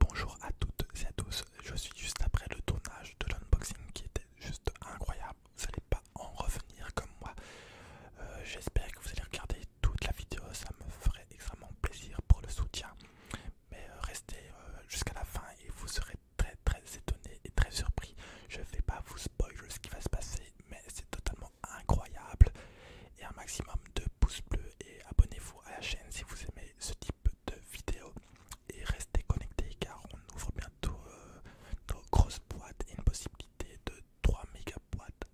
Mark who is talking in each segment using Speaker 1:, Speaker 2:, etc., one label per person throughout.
Speaker 1: Bonjour à toutes et à tous, je suis juste après le tournage de l'unboxing qui était juste incroyable, vous n'allez pas en revenir comme moi. Euh, j'espère que vous allez regarder toute la vidéo, ça me ferait extrêmement plaisir pour le soutien. Mais euh, restez euh, jusqu'à la fin et vous serez très très étonné et très surpris. Je ne vais pas vous spoiler ce qui va se passer, mais c'est totalement incroyable. Et un maximum de pouces bleus et abonnez-vous à la chaîne si vous aimez ce type de vidéos Et restez connectés car on ouvre bientôt euh, nos grosses boîtes et une possibilité de 3 méga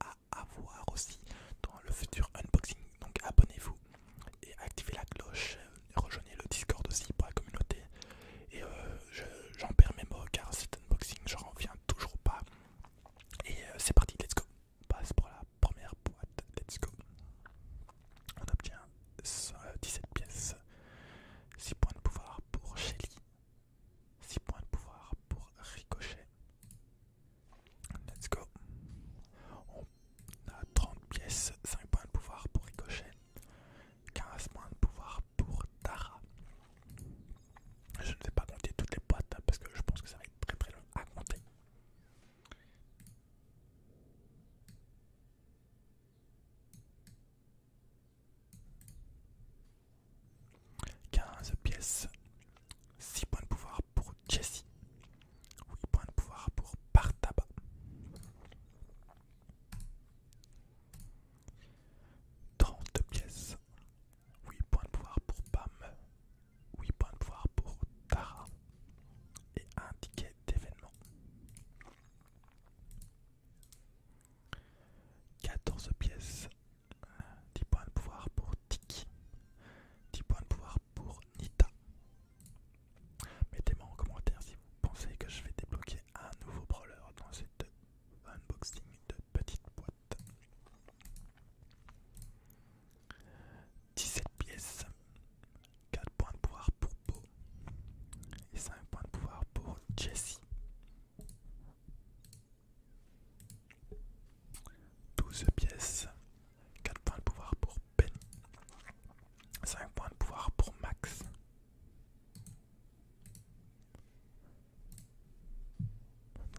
Speaker 1: à avoir aussi dans le futur unboxing. Donc abonnez-vous et activez la cloche. Euh, rejoignez le Discord aussi pour la communauté. Et euh, j'en perds mes mots car cet unboxing, je reviens toujours pas. Et c'est parti, let's go! passe pour la première boîte. Let's go. On obtient 17 euh, pièces, 6 points de pouvoir pour Shelly, 6 points de pouvoir pour Ricochet. Let's go. On a 30 pièces, 5 points de pouvoir pour Ricochet, 15 points de pouvoir pour Tara. Je ne vais pas compter toutes les boîtes hein, parce que je pense que ça va être très très long à compter. 15 pièces, 6 points de pouvoir pour Jessie, 8 points de pouvoir pour Bartaba 30 pièces, 8 points de pouvoir pour Pam, 8 points de pouvoir pour Tara et un ticket d'événement. 14 pièces, 10 points de pouvoir pour Tiki, 10 points de pouvoir pour Nita. Mettez-moi en commentaire si vous pensez que je vais débloquer un nouveau brawler dans cette unboxing de petite boîte. 17 pièces, 4 points de pouvoir pour Beau et 5 points de pouvoir pour Jessie. 12 pièces, 4 points de pouvoir pour Ben, 5 points de pouvoir pour Max.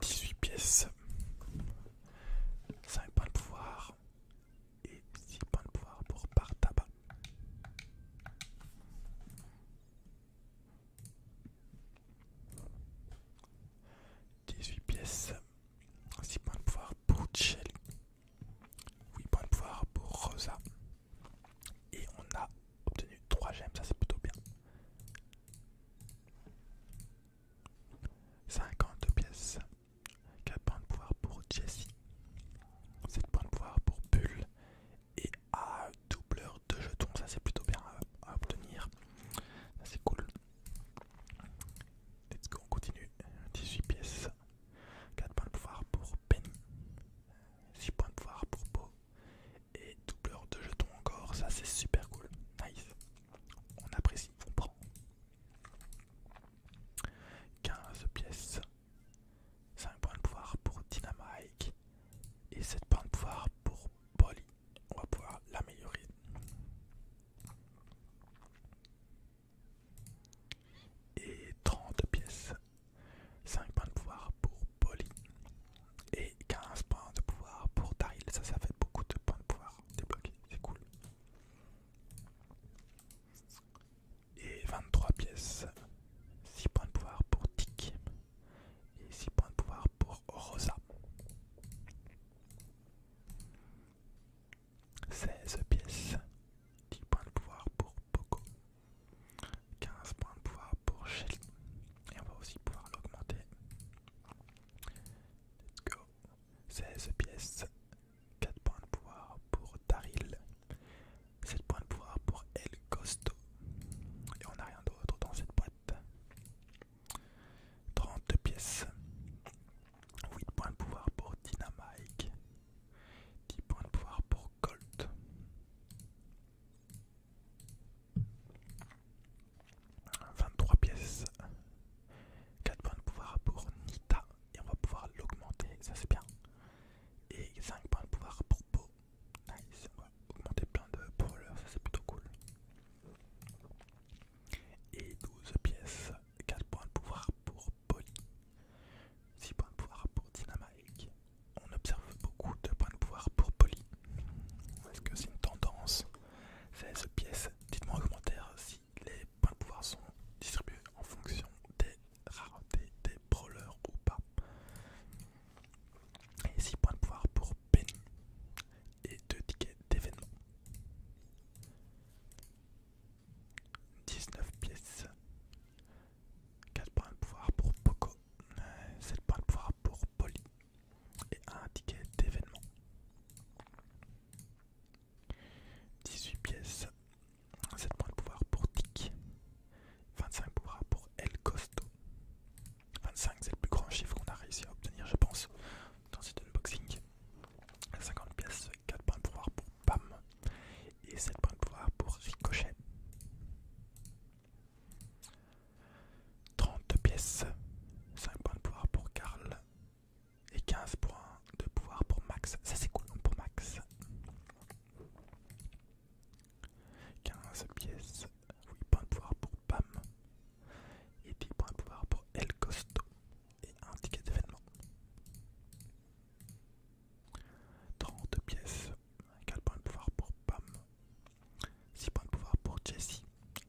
Speaker 1: 18 pièces, 5 points de pouvoir et 6 points de pouvoir pour par 18 pièces, 6 points de pouvoir pour Chelly. 8 points de pouvoir pour Rosa. Et on a obtenu 3 gemmes, ça c'est plutôt bien. 52 pièces, 4 points de pouvoir pour Jessie, 7 points de pouvoir pour Bull et un doubleur de jetons, ça c'est plutôt bien à, obtenir, ça c'est cool. Let's go, on continue, 18 pièces, 4 points de pouvoir pour Penny, 6 points de pouvoir pour Beau et doubleur de jetons encore, ça c'est super cool, nice, on apprécie, on prend, 15 pièces, 5 points de pouvoir pour Dynamite et 7 points de pouvoir pour Polly. On va pouvoir l'améliorer. Et 30 pièces, 5 points de pouvoir pour Polly et 15 points de pouvoir pour Daryl. Ça, ça fait beaucoup de points de pouvoir débloqués, c'est cool. Et 23 pièces. 6 points de pouvoir pour Tic. Et 6 points de pouvoir pour Rosa. 16 pièces. 10 points de pouvoir pour Poco. 15 points de pouvoir pour Shelly. Et on va aussi pouvoir l'augmenter. Let's go. 16 pièces, 4 points de pouvoir pour Taril. 7 points de pouvoir pour El Costo. Et on n'a rien d'autre dans cette boîte. 32 pièces. 8 points de pouvoir pour Dynamike. 10 points de pouvoir pour Colt. 23 pièces, 4 points de pouvoir pour Nita et on va pouvoir l'augmenter, ça c'est bien. Et 5 points de pouvoir pour Po. Nice, augmenter plein de brawlers, ça c'est plutôt cool. Et 12 pièces, 4 points de pouvoir pour Polly, 6 points de pouvoir pour Dynamike. On observe beaucoup de points de pouvoir pour Polly. Est-ce que c'est une tendance 16 pièces, dites-moi en commentaire si les points de pouvoir sont distribués en fonction des raretés des brawlers ou pas. Et 6 points de pouvoir pour Penny et 2 tickets d'événement. 19 pièces. 4 points de pouvoir pour Poco. 7 points de pouvoir pour Polly. Et 1 ticket d'événement. 18 pièces, 7 points de pouvoir pour Tic, 25 pouvoirs pour El Costo. 25 c'est le plus grand chiffre qu'on a réussi à obtenir je pense dans cet unboxing. 50 pièces, 4 points de pouvoir pour Pam et 7 points de pouvoir pour Ricochet. 30 pièces, 5 points de pouvoir pour Karl, et 15 points de pouvoir pour Max. Ça c'est cool pour Max. 15 pièces, 8 points de pouvoir pour Pam et 10 points de pouvoir pour El Costo et un ticket d'événement. 30 pièces, 4 points de pouvoir pour Pam, 6 points de pouvoir pour Jessie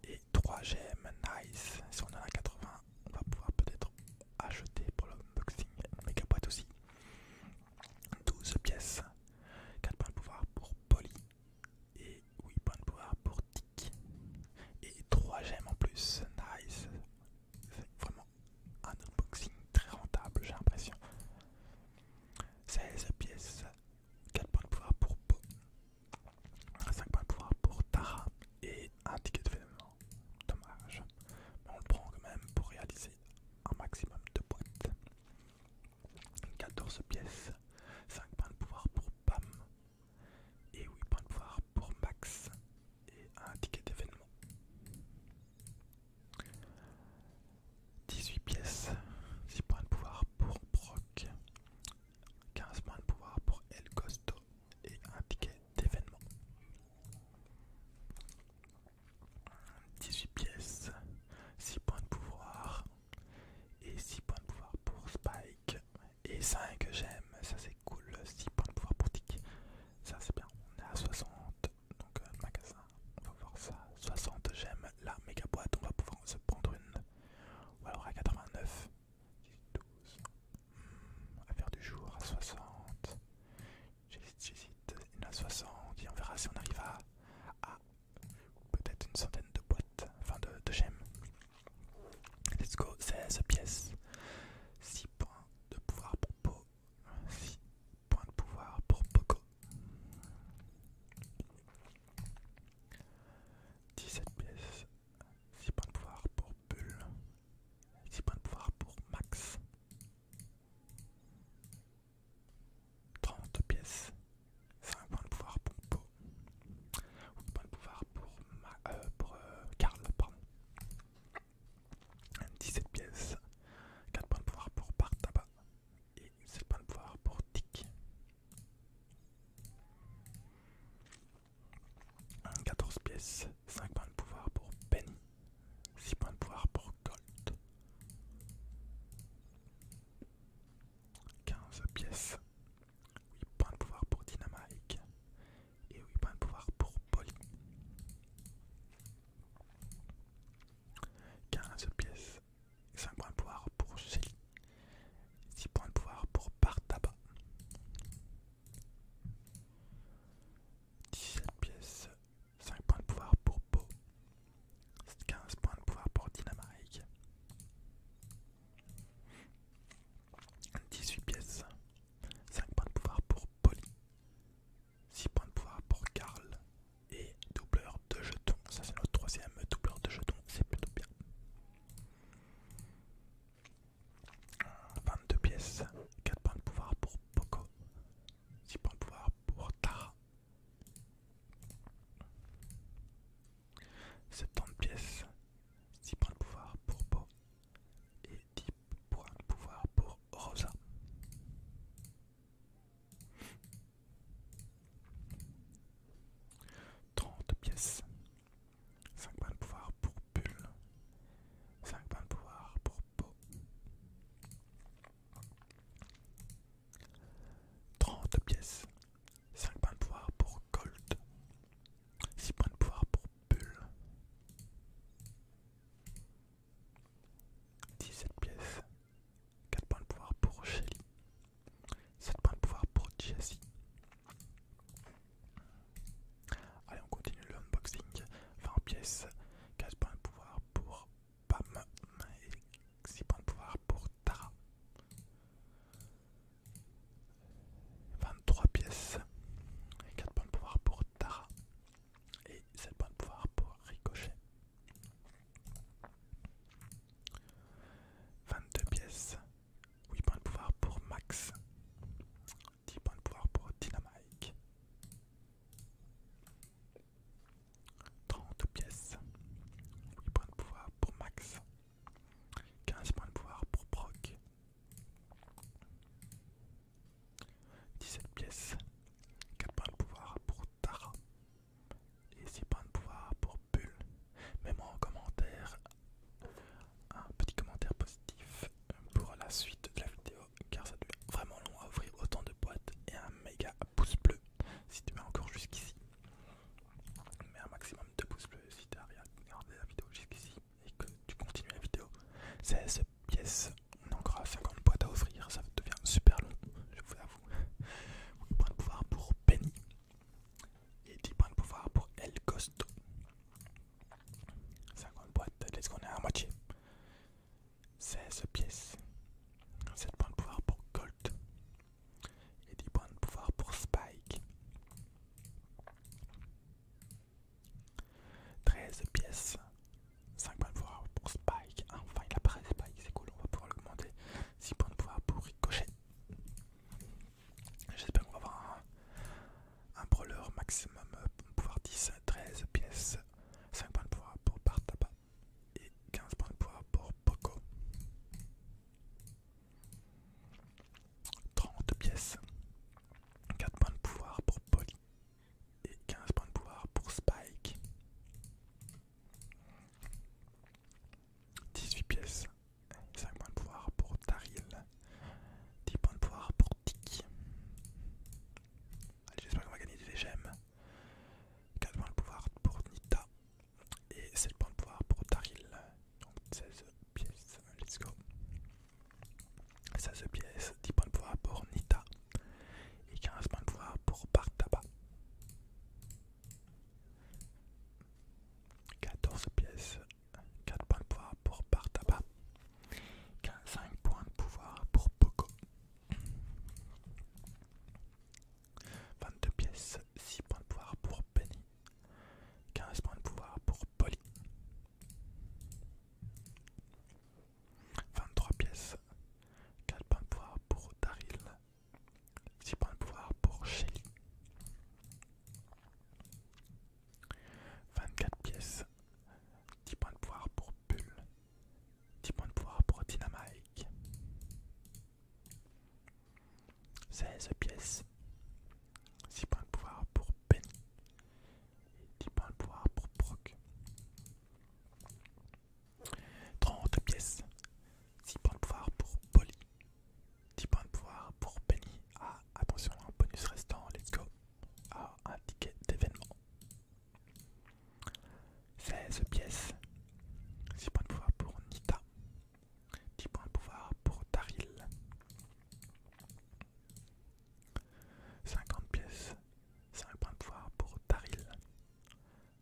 Speaker 1: et 3 gemmes, nice, si on en a 80 on va pouvoir peut-être acheter pour l'unboxing une méga boîte aussi. 12 pièces, 4 points de pouvoir pour Polly et 8 points de pouvoir pour Tic. Et 3 gemmes en plus, nice. C'est vraiment un unboxing très rentable, j'ai l'impression. 16 pièces, 4 points de pouvoir pour Po, 5 points de pouvoir pour Tara et un ticket d'événement, dommage. Mais on le prend quand même pour réaliser un maximum de boîtes. 14 pièces, 5 points de pouvoir pour Pam et 8 points de pouvoir pour Max et un ticket d'événement. 18 pièces, 6 points de pouvoir pour Brock, 15 points de pouvoir pour El Costo et un ticket d'événements. 18 pièces, 6 points de pouvoir et 6 points de pouvoir pour Spike et 5 j'aime, ça c'est cool, 6 points de pouvoir pour Tic, ça c'est bien, on est à 60, donc euh, magasin, on va voir ça, 60 j'aime, la méga boîte, on va pouvoir se prendre une, ou alors à 89, 18, 12. à affaire du jour à 60. J'hésite, j'hésite. Une à 60. Et on verra si on arrive à, peut-être une centaine de boîtes, enfin de, de gemmes. Let's go, 16 pièces. 6 points de pouvoir pour Po. 6 points de pouvoir pour Poco. 17 pièces, 6 points de pouvoir pour Bull, 6 points de pouvoir pour Max, 30 pièces, 5 points de pouvoir pour Po, 8 points de pouvoir pour, 17 euh, euh, pièces, 4 points de pouvoir pour Bartaba et 7 points de pouvoir pour Tic. 14 pièces, 5 points de pouvoir pour Penny, 6 points de pouvoir pour Gold. 15 pièces, 8 points de pouvoir pour Dynamite et 8 points de pouvoir pour Polly. 15 pièces, 5 points de pouvoir pour Shelly, 6 points de pouvoir pour Bartaba, 17 pièces, 5 points de pouvoir pour Bo. 15 points de pouvoir pour Dynamite 18 pièces, 5 points de pouvoir pour Polly, 6 points de pouvoir pour Karl et doubleur de jetons. Ça, c'est notre troisième doubleur de jetons, c'est plutôt bien. 22 pièces, 4 points de pouvoir pour Poco, 6 points de pouvoir pour Tara. 70 pièces, 6 points de pouvoir pour Po et 10 points de pouvoir pour Rosa. 30 pièces, 5 points de pouvoir pour bull 5 points de pouvoir pour Po 30 pièces. 5 points de pouvoir pour Colt 6 points de pouvoir pour bull 17 pièces. 4 points de pouvoir pour Shelly. 7 points de pouvoir pour Jessie. Allez, on continue le unboxing. 20 pièces, 4 points de pouvoir pour Pam et 6 points de pouvoir pour Tara. 23 pièces, et 4 points de pouvoir pour Tara et 7 points de pouvoir pour Ricochet. 22 pièces, 8 points de pouvoir pour Max 10 points de pouvoir pour Dynamite 30 pièces. 8 points de pouvoir pour Max. 15 points de pouvoir pour Proc. 17 pièces. 4 points de pouvoir pour Tara. Et 6 points de pouvoir pour Bull. Mets-moi en commentaire un petit commentaire positif euh, pour la suite de la vidéo car ça devient vraiment long à ouvrir autant de boîtes et un méga pouce bleu si tu mets encore jusqu'ici Mets un maximum de pouces bleus si tu as regardé la vidéo jusqu'ici et que tu continues la vidéo 16 pièces on a encore 50 boîtes à ouvrir, ça devient super long je vous avoue 8 de pouvoir pour Penny et 10 points de pouvoir pour El Costo 50 boîtes de let's go, on est à moitié. 16 pièces. 7 points de pouvoir pour Gold Et 10 points de pouvoir pour Spike. 13 pièces. 5 points de pouvoir pour Spike. Enfin il apparaît Spike, c'est cool, on va pouvoir l'augmenter. 6 points de pouvoir pour Ricochet. J'espère qu'on va avoir un un brawler maximum euh, pouvoir 10, 13 pièces, 5 points de pouvoir pour Partaba et 15 points de pouvoir pour Poco. 30 pièces, 4 points de pouvoir pour Polly et 15 points de pouvoir pour Spike. 18 pièces, 5 points de pouvoir pour Taril 10 points de pouvoir pour Tiki. Allez, j'espère qu'on va gagner des gemmes. 4 points de pouvoir pour Nita. Et 7 points de pouvoir pour Taril. Donc 16 pièces. Let's go. 16 pièces, 10 points de pouvoir pour Nita. Et 15 points de pouvoir pour Bartaba. 14 pièces, 4 points de pouvoir pour Bartaba 5 points de pouvoir pour Poco, 22 pièces, 6 points de pouvoir pour Penny, 15 points de pouvoir pour Polly, 23 pièces, 4 points de pouvoir pour Daryl, 6 points de pouvoir pour Shelly. 24 pièces, 10 points de pouvoir pour Bull, 10 points de pouvoir pour Dynamite, 16 pièces, 6 points de pouvoir pour Penny, 10 points de pouvoir pour Brock. 30 pièces, 6 points de pouvoir pour Polly, 10 points de pouvoir pour Penny. Ah, attention, bonus restant, let's go à un ticket d'événement. 16 pièces. 6 points de pouvoir pour Nita. 10 points de pouvoir pour Taril. 50 pièces. 5 points de pouvoir pour Taril.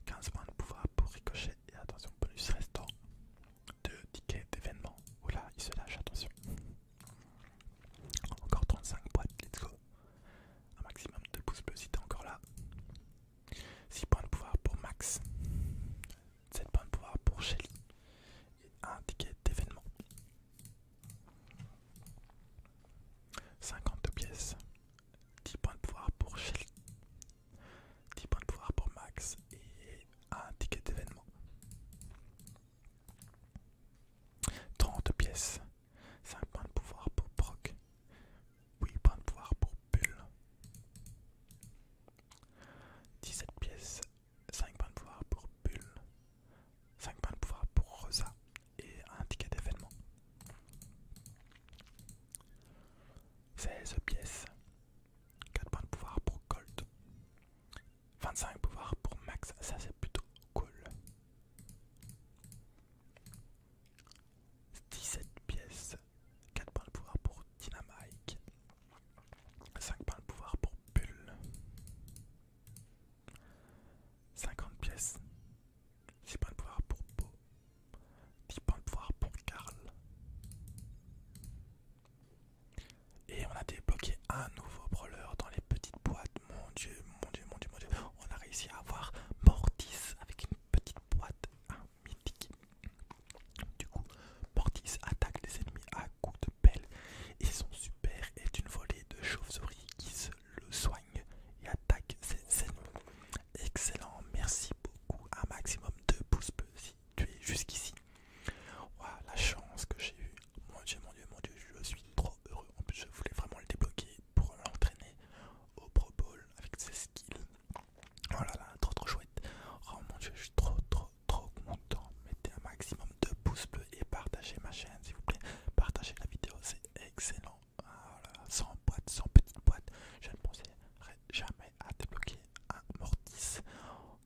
Speaker 1: 15 points de pouvoir pour Ricochet. Et attention, bonus restant. 2 tickets d'événement. Oula, il se lâche, attention. Encore 35 boîtes, let's go. Un maximum de pouces bleus si t'es encore là. 6 points de pouvoir pour Max. 7 points de pouvoir pour Shelly. Et un ticket d'événement. 50 pièces. 10 points de pouvoir pour Shelly. 10 points de pouvoir pour Max. Et un ticket d'événement. 30 pièces. 5 points de pouvoir pour Proc. 8 points de pouvoir pour Bull. 17 pièces. 5 points de pouvoir pour Bull. 5 points de pouvoir pour Rosa. Et un ticket d'événement. 16 pièces. 4 points de pouvoir pour Colt. 25 pouvoirs pour max, ça c'est plutôt cool. 17 pièces, 4 points de pouvoir pour Dynamite, 5 points de pouvoir pour Pull. 50 pièces, 6 points de pouvoir pour Po 10 points de pouvoir pour Carl. Et on a débloqué un nouveau brawler dans les petites boîtes. Mon dieu, mon dieu, mon dieu, mon dieu. On a réussi à avoir Mortis avec une petite boîte Un mythique. Du coup, Mortis attaque les ennemis à coups de pelle. Et son super est une volée de chauves souris qui se le soigne et attaque ses ennemis. Excellent, merci beaucoup. Un maximum de pouces bleus si tu es jusqu'ici. voilà la chance que j'ai eue mon dieu, mon dieu, mon dieu, je suis trop heureux. En plus, je voulais vraiment le débloquer pour l'entraîner au Pro Bowl avec ses skills. Oh là là, trop trop chouette. Oh mon dieu, je suis trop trop trop content. Mettez un maximum de pouces bleus et partagez ma chaîne, s'il vous plaît. Partagez la vidéo, c'est excellent. Ah sans boîte, sans petite boîte. Je ne penserai jamais à débloquer un mortis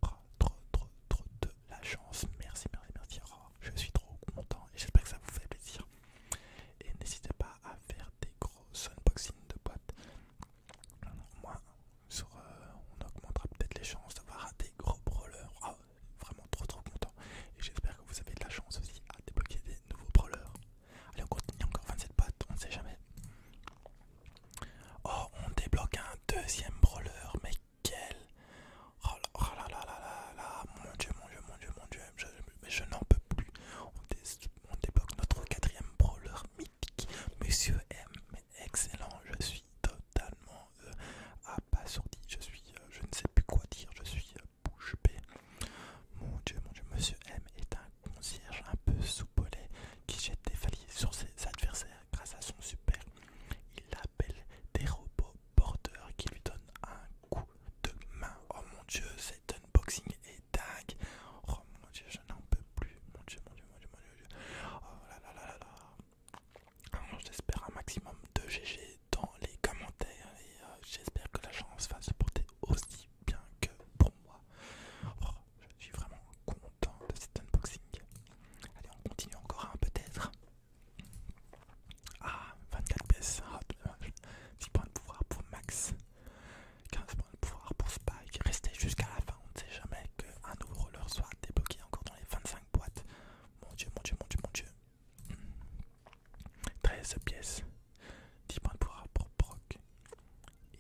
Speaker 1: trop, trop, trop de la chance. Merci, merci, merci. Oh, je suis trop content et j'espère que ça vous fait plaisir. Et n'hésitez pas à faire des gros unboxings de boîtes. Au moins, euh, on augmentera peut-être les chances d'avoir des gros brawlers. Oh, vraiment trop, trop content. Et j'espère que vous avez de la chance aussi à débloquer des nouveaux brawlers. Allez, on continue encore 27 boîtes, on ne sait jamais. Oh, on débloque un deuxième brawler, mais quel oh, oh là, là là là là mon dieu, mon dieu, mon dieu, mon dieu, je, je, n'en peux plus. On, débloque notre quatrième brawler mythique, Monsieur M. Excellent, je suis totalement euh, abasourdi, je suis, euh, je ne sais plus quoi dire, je suis euh, bouche bée. Mon dieu, mon dieu, Monsieur M est un concierge un peu soupolé qui jette des valises sur ses adversaires grâce à son super. Il a des robots porteurs qui lui donnent un coup de main. Oh mon dieu, cet unboxing est dingue. Oh mon dieu, je n'en peux plus. Mon dieu, mon dieu, mon dieu, mon dieu. Oh là là là là J'espère un maximum de GG dans les commentaires et euh, j'espère que la chance va se porter aussi bien que pour moi. Oh, je suis vraiment content de cet unboxing. Allez, on continue encore un hein, peut-être. Ah, 24 pièces, 10 ah, points de pouvoir pour Max, 15 points de pouvoir pour Spike. Restez jusqu'à la fin, on ne sait jamais qu'un nouveau roller soit débloqué encore dans les 25 boîtes. Mon dieu, mon dieu, mon dieu, mon dieu. 13 hmm. pièces, 10 points de pouvoir pour Brock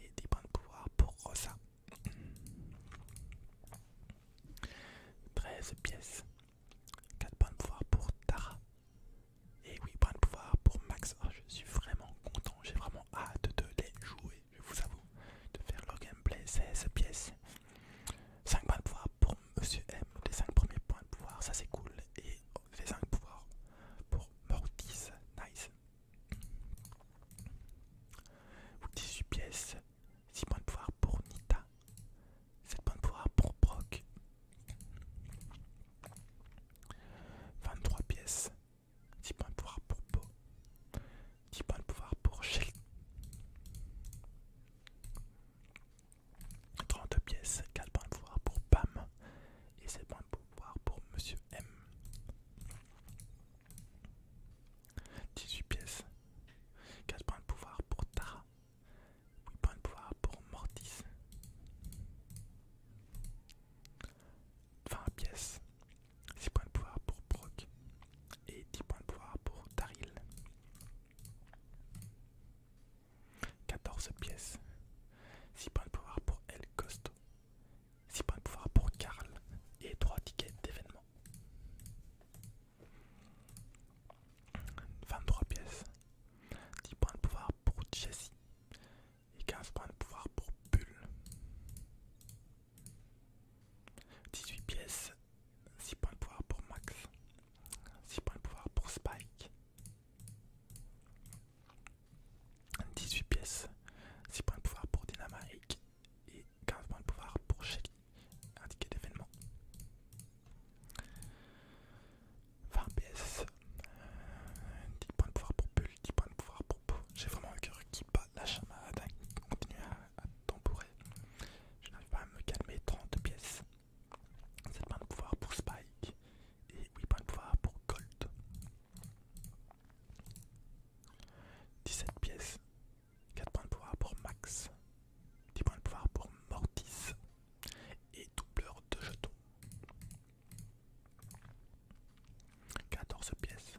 Speaker 1: et 10 points de pouvoir pour Rosa. 13 pièces. 4 points de pouvoir pour Tara. Et 8 points de pouvoir pour Max. Oh, je suis vraiment content. J'ai vraiment hâte de les jouer, je vous avoue. De faire le gameplay. 16 pièces. 5 points de pouvoir pour Monsieur M. Les 5 premiers points de pouvoir, ça c'est cool. Et les 5 pouvoir pour Mortis. Nice. 18 pièces. 6 points de pouvoir pour Nita, 7 points de pouvoir pour Brock, 23 pièces, 10 points de pouvoir pour Bo, 10 points de pouvoir pour Shell, 32 pièces, 4 points de pouvoir pour Pam et 7 points de pouvoir pour Monsieur M. 18 pièces, 4 points de pouvoir pour Tara. 8 points de pouvoir pour Mortis. 20 pièces. 6 points de pouvoir pour Brock. Et 10 points de pouvoir pour Daryl. 14 pièces. 6 points de pouvoir pour El Costo. 6 points de pouvoir pour Karl. Et 3 tickets d'événement. 23 pièces, 10 points de pouvoir pour Jessie et 15 points de pouvoir pour Bull. 18 pièces, 6 points de pouvoir pour Max, 6 points de pouvoir pour Spike. 18 pièces, 6 points de pouvoir pour Dynamite et 15 points de pouvoir pour Shelly indiquer l'événement. 20 pièces. 10 euh, points de pouvoir pour Bull, 10 points de pouvoir pour Po. J'ai vraiment un cœur qui bat, la attaque hein, continue à, à tambourer. Je n'arrive pas à me calmer, 30 pièces. 7 points de pouvoir pour Spike et 8 points de pouvoir pour Gold. 17 pièces, 4 points de pouvoir pour Max, 10 points de pouvoir pour Mortis et doubleur de jetons. 14 pièces,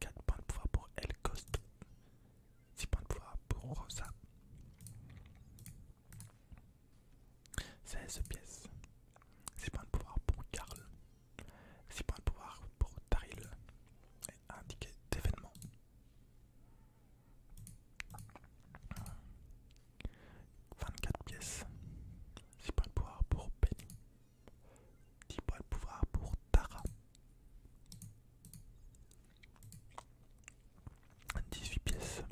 Speaker 1: 4 points de pouvoir pour El 6 points de pouvoir pour Rosa. 16 pièces, 6 points de pouvoir pour Carl 6 points de pouvoir pour Taril et indiqué d'événement. 24 pièces. 6 points de pouvoir pour Penny. 10 points de pouvoir pour Tara. 18 pièces.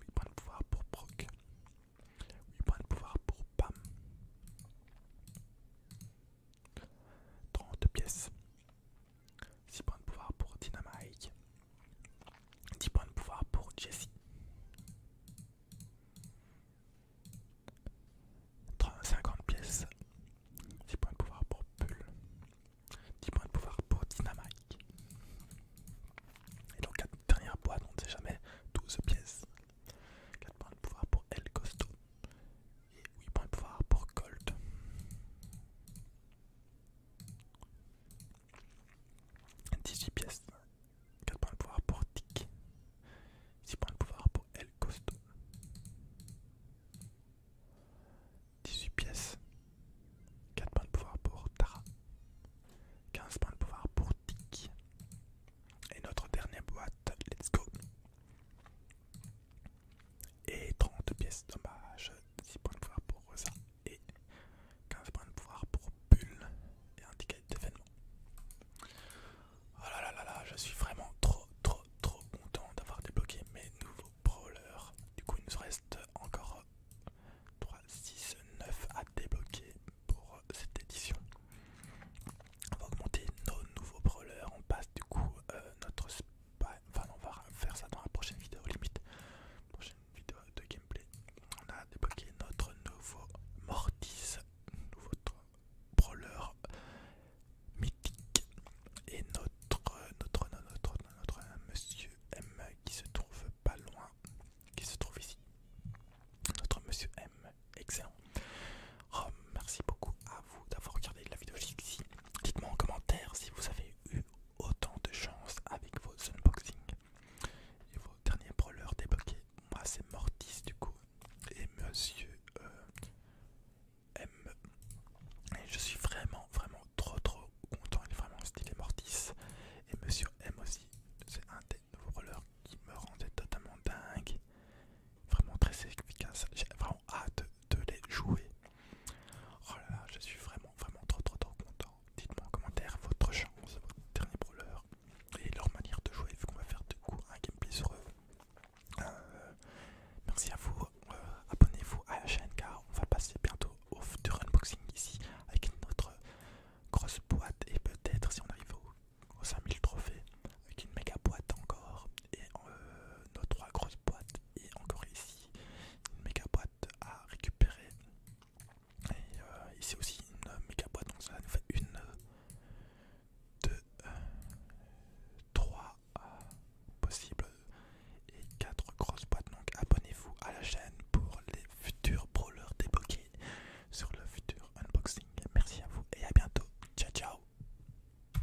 Speaker 1: 8 points de pouvoir pour Brock. 8 points de pouvoir pour Pam. 30 pièces. 6 points de pouvoir pour Dynamite. 10 points de pouvoir pour Jessie. 50 pièces. 6 points de pouvoir pour Pull. 10 points de pouvoir pour Dynamite. Et donc la dernière boîte on ne sait jamais, 12 pièces. 4 points de pouvoir pour El Costo. Et 8 points de pouvoir pour Colt. 18 pièces. 4 points de pouvoir pour Tic. 6 points de pouvoir pour El Costo. 18 pièces. 4 points de pouvoir pour Tara. 15 points de pouvoir pour Tic. Et notre dernière boîte, let's go. Et 30 pièces, dommage. 10 points de pouvoir pour Rosa et 15 points de pouvoir pour Bull et un ticket d'événement. Oh là là là là, je suis vraiment trop trop trop content d'avoir débloqué mes nouveaux brawlers. Du coup, il nous reste encore 3, 6, 9 à débloquer pour cette édition. On va augmenter nos nouveaux brawlers. On passe du coup euh, notre notre bah, on va faire ça dans la prochaine vidéo limite prochaine vidéo de gameplay on a débloqué notre nouveau mortis nouveau brawler mythique et notre notre notre notre, notre monsieur M qui se trouve pas loin qui se trouve ici notre monsieur M excellent merci beaucoup à vous d'avoir regardé la vidéo jusqu'ici. Dites-moi en commentaire si vous avez eu autant de chance avec vos unboxings et vos derniers brawlers débloqués. Moi, c'est Mortis du coup et Monsieur euh, M. Et je suis vraiment, vraiment trop, trop content. Il est vraiment stylé Mortis et Monsieur M aussi. C'est un des nouveaux brawlers qui me rendait totalement dingue. Vraiment très efficace. J'ai vraiment hâte de les jouer. Oh là là, je suis vraiment, vraiment trop, trop, trop content. Dites-moi en commentaire votre chance, votre dernier brawler et leur manière de jouer, vu qu'on va faire du coup un gameplay sur eux. Euh, merci à vous, euh, abonnez-vous à la chaîne car on va passer bientôt au futur unboxing ici avec une autre grosse boîte et peut-être si on arrive aux 5000 trophées avec une méga boîte encore et euh, nos trois grosses boîtes et encore ici une méga boîte à récupérer et euh, ici aussi une méga boîte donc ça nous fait une deux trois euh, possibles et quatre grosses boîtes donc abonnez-vous à la chaîne pour les futurs brawlers débloqués sur le futur unboxing merci à vous et à bientôt ciao ciao